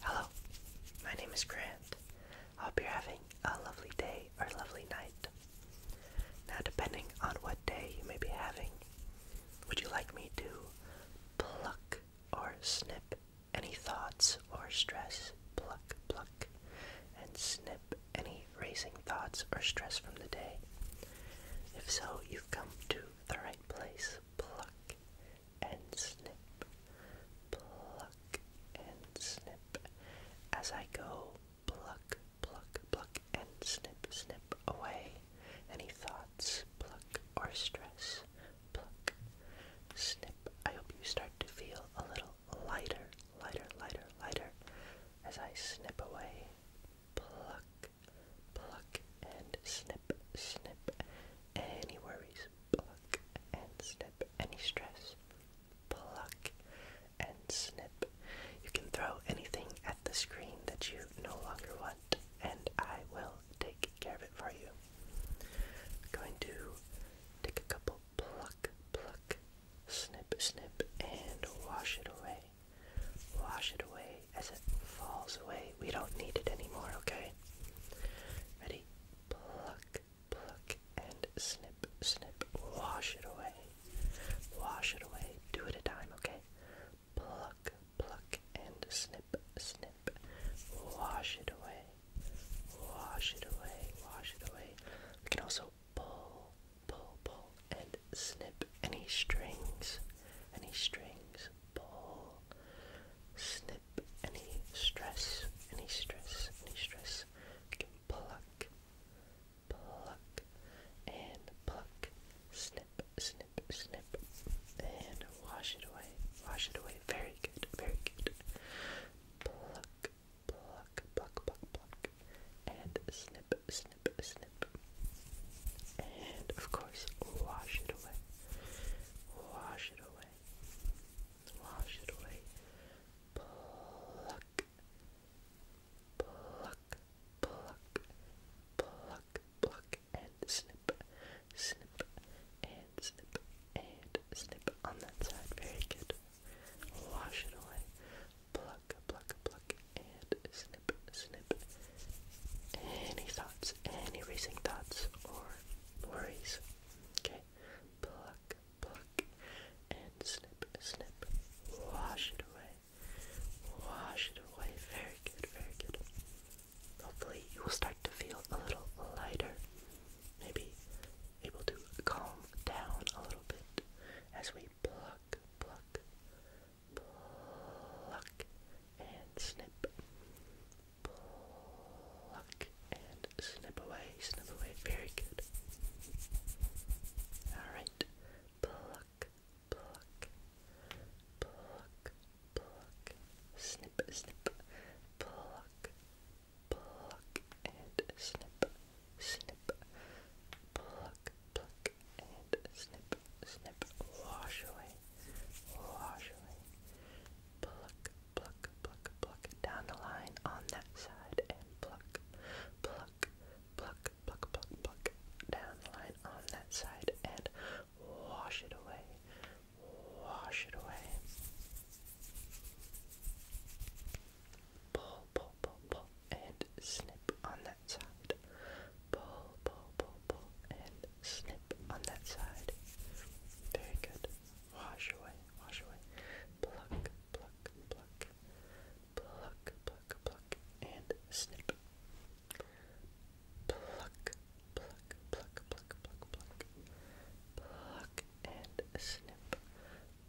Hello, my name is Grant. I hope you're having a lovely day or lovely night. Now, depending on what day you may be having, would you like me to pluck or snip any thoughts or stress? Pluck, pluck, and snip any racing thoughts or stress from the day. If so, you've come to the right place. Pluck and snip, pluck and snip. As I go, pluck, pluck, pluck, and snip, snip away any thoughts, pluck, or stress, pluck, snip. I hope you start to feel a little lighter, lighter, lighter, lighter as I snip away, pluck pluck and snip, snip any worries, pluck and snip any stress, pluck and snip. You can throw anything at the screen that you no longer want, and I will take care of it for you. I'm going to take a couple pluck, pluck, snip, snip, and wash it away. Wash it away, as it falls away. We don't need it anymore, okay? Ready? Pluck, pluck, and snip, snip. Wash it away. Wash it away. Do it a time, okay? Pluck, pluck, and snip, snip. Wash it away. Wash it away. Wash it away. We can also pull, pull, pull, and snip any strings. Any strings pull, snip any stress, any stress, any stress. pluck, pluck, and pluck, snip, snip, snip, and wash it away, wash it away. Very good, very good. Pluck, pluck, pluck, pluck, pluck, and snip, snip, snip and of course wash it away. Wash it away. Wash it away. Pluck. Pluck. Pluck. Pluck. Pluck and snip. Snip and snip and snip on that side. Very good. Wash it away. Pluck, pluck, pluck, and snip, snip, any thoughts, any racing thoughts or worries. Okay, pluck, pluck, and snip, snip. Wash it away. Wash it away. Very good, very good. Hopefully, you will start to feel a little lighter. Maybe able to calm down a little bit as we pluck, pluck, pluck and snip, pluck and snip away, snip away. Very good. All right, pluck, pluck, pluck, pluck, snip, snip, pluck, pluck and snip, snip, pluck, pluck and snip snip, wash away, wash away, pluck, pluck, pluck, pluck down the line on that side, and pluck, pluck, pluck, pluck, pluck, pluck down the line on that side, and wash it away, wash it away. Pull, pull, pull, pull, and snip on that side. Pull, pull, pull, pull, and snip on that side. Very good. Wash away, wash away. Pluck, pluck, pluck. Pluck, pluck, pluck, and snip. Pluck, pluck, pluck, pluck, pluck, pluck. Pluck and snip.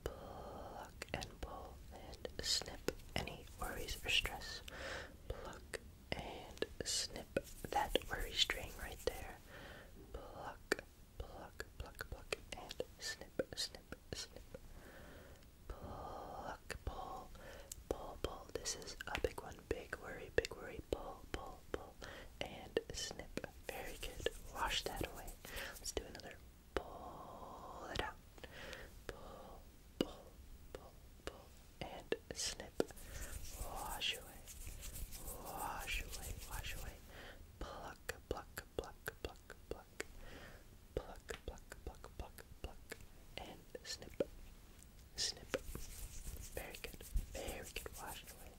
Pluck and pull and snip any worries or stress. Pluck, and snip that worry string right there. Pluck, pluck, pluck, pluck, and snip, snip, snip. Pluck, pull, pull, pull. This is a big one. Big worry, big worry. Pull, pull, pull, and snip. Very good. Wash that away. Let's do another. Pull it out. Pull, pull, pull, pull, and snip. Wash away, wash away, wash away. Pluck, pluck, pluck, pluck, pluck. Pluck, pluck, pluck, pluck, pluck, and snip. Snip. Very good. Very good. Wash away.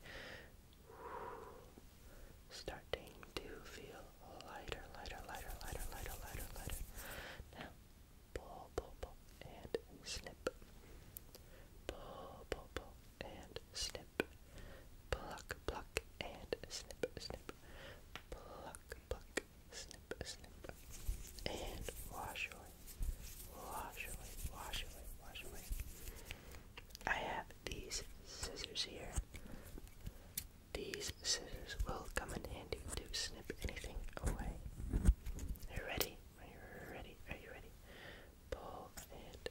Starting to feel lighter, lighter, lighter, lighter, lighter, lighter, lighter. Now, pull, pull, pull, and snip. Pull, pull, pull, and snip. Pluck, pluck, and snip, snip. Pluck, pluck, snip, snip. And wash away, wash away, wash away, wash away. I have these scissors here. These scissors will come in handy to snip anything away you ready? Are you ready? Are you ready? Pull and snip.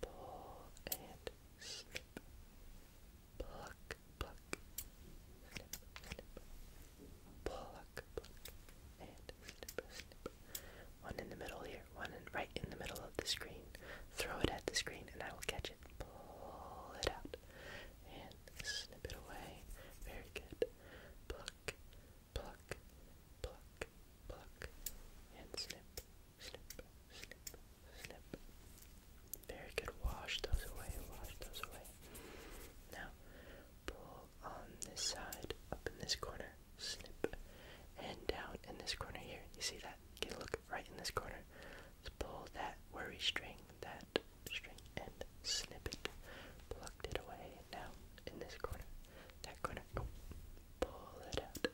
Pull and snip. Pluck, pluck. Pluck, pluck. And snip, snip. One in the middle here. One right in the middle of the screen. Throw it at the screen and I will catch it. Pull it out and snip it away. Very good. Pluck, pluck, pluck, pluck, and slip, slip, slip, slip. Very good. Wash those away, wash those away. Now, pull on this side, up in this corner, Slip, and down in this corner here. You see that? Get a look right in this corner. Let's pull that worry string, that straight and snip it. Plucked it away. Now, in this corner, that corner, go. Pull it out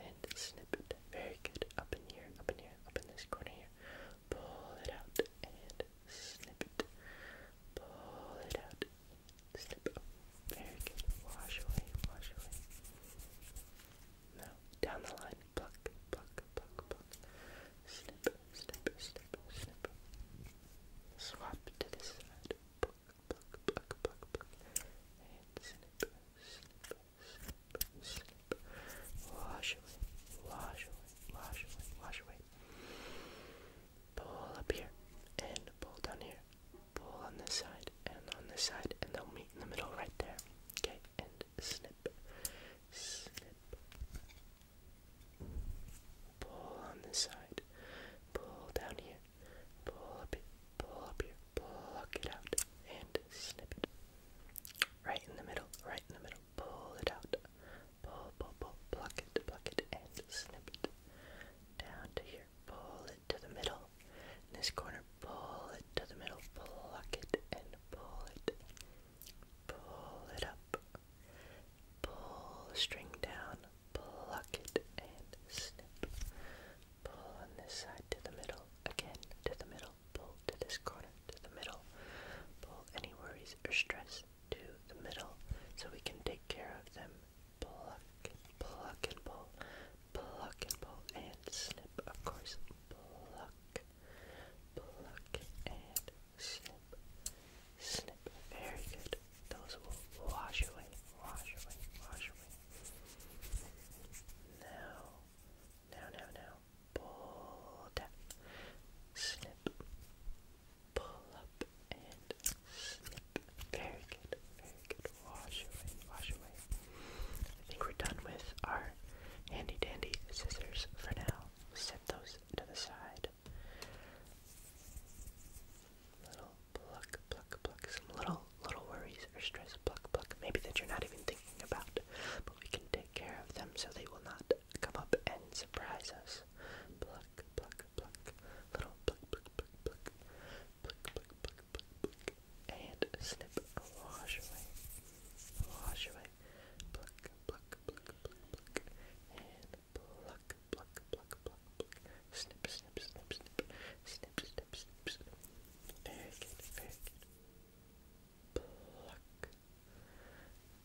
and snip it. Very good. Up in here, up in here, up in this corner here. Pull it out and snip it. Pull it out. Snip. Very good. Wash away, wash away. Now, down the line, pluck, pluck, pluck, pluck. Snip, snip, snip, snip. Swap to this side. Pluck, pluck, pluck, pluck, pluck. And snip, snip, snip, snip. Wash away, wash away, wash away, wash away. Pull up here and pull down here. Pull on this side and on this side, and they'll meet in the middle right there. Okay, and snip, snip, Pull on this side. Pull down here. Pull up it. Pull up here. Pluck it out. And snip it. Right in the middle. Right in the middle. Pull it out. Pull, pull, pull. Pluck it. Pluck it. And snip it. Down to here. Pull it to the middle. In this corner. Pull it to the middle. Pluck it. And pull it pull it up, pull the string down, pluck it, and snip. Pull on this side to the middle, again to the middle, pull to this corner, to the middle, pull any worries or stress to the middle so we can take care of them. Pluck, pluck and pull, pluck and pull, and snip, of course. Pluck, pluck and snip, snip. Very good. Those will wash away, wash away, wash away. Now, now, now, now. Pull down, snip, pull up, and snip. Very good, very good. Wash away, wash away. I think we're done with our handy dandy scissors for now those to the side. Little pluck, pluck, pluck. Some little, little worries or stress, pluck, pluck. Maybe that you're not even thinking about, but we can take care of them so they will not come up and surprise us. Pluck, pluck, pluck. Little pluck, pluck, pluck, pluck. Pluck, pluck, pluck, pluck, And snip, wash away. Wash away, pluck, pluck, pluck, pluck, pluck, and pluck, pluck, pluck, pluck, pluck, snip, snip, snip, snip, snip, snip, snip, snip. Very good, very good. Pluck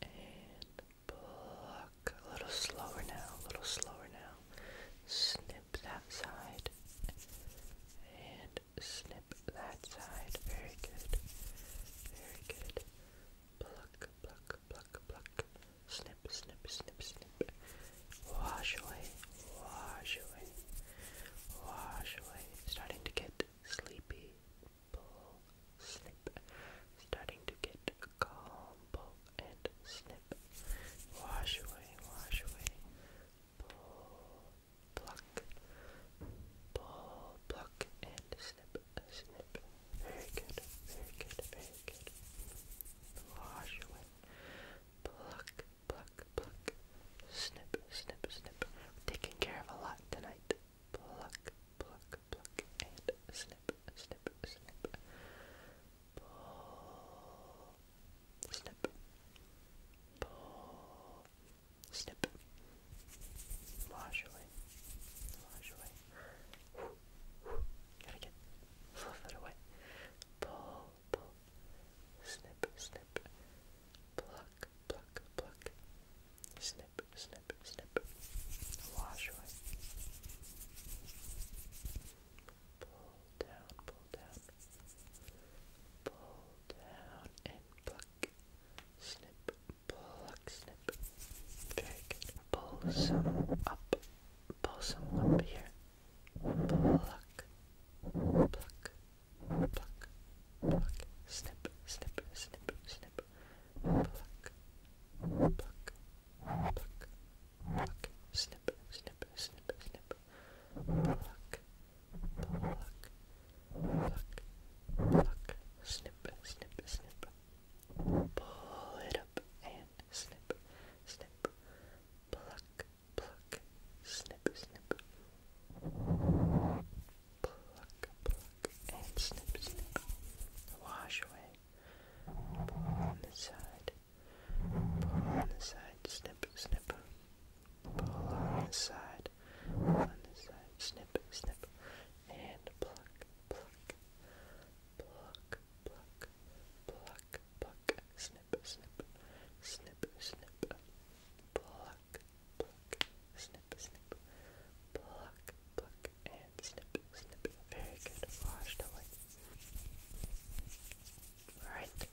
and pluck. A little slower now, a little slower now. Snip that side and snip snip that side. Very good. Very good. Pluck, pluck, pluck, pluck. Snip, snip, snip, snip. Wash away, wash away, wash away. Starting to get sleepy. Pull, snip. Starting to get calm. Pull and snip. Wash away, wash away. Pull, pluck, pull, pluck, and snip, snip. Very good, very good, very good. Wash away. Pluck, pluck, pluck. Snip, snip, snip. taking care of a lot tonight. Pluck, pluck, pluck, and snip, snip, snip. Pull, snip, pull, Snip. Wash away. Wash away. Gotta get a little away. Pull, pull. Snip, snip. Pluck, pluck, pluck. Snip, snip, snip. Wash away. Pull down, pull down. Pull down and pluck, snip, pluck, snip. Very good. Pull some up, pull some up here. Pluck, pluck, pluck, pluck. Snip, snip, snip, snip. Pluck, pluck, pluck, pluck. Snip, snip, snip, snip. Pluck, Pluck, pluck, pluck, snip, snip, snip. Pull it and snip, snip. Pluck, pluck, snip, snip. Pluck, pluck, and snip, snip. Wash away. Pull on the side. Pull on the side. Snip, snip pull on this side, on this side, snip, snip, and pluck, pluck, pluck, pluck, pluck, pluck, snip, snip, snip, snip, pluck, pluck, snip, snip, pluck, pluck, and snip, snip. Very good, washed away. Alright,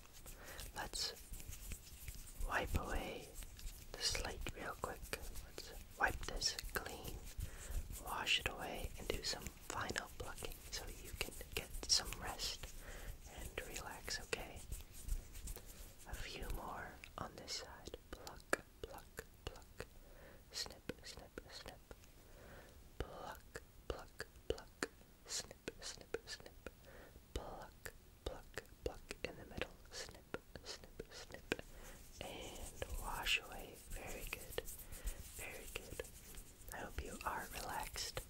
let's wipe away the slate real quick. Let's wipe this clean, wash it away, and do some final plucking so you can get some rest and relax, okay? A few more on this side. Pluck, pluck, pluck. Snip, snip, snip. Pluck, pluck, pluck. Snip, snip, snip. Pluck, pluck, pluck in the middle. Snip, snip, snip, and wash away. Very good, very good. I hope you are relaxed.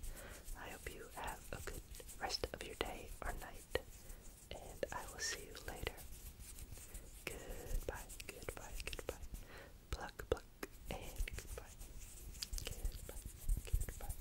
I hope you have a good rest of your day or night, and I will see you later. Goodbye, goodbye, goodbye. Pluck, pluck, and goodbye. Goodbye, goodbye.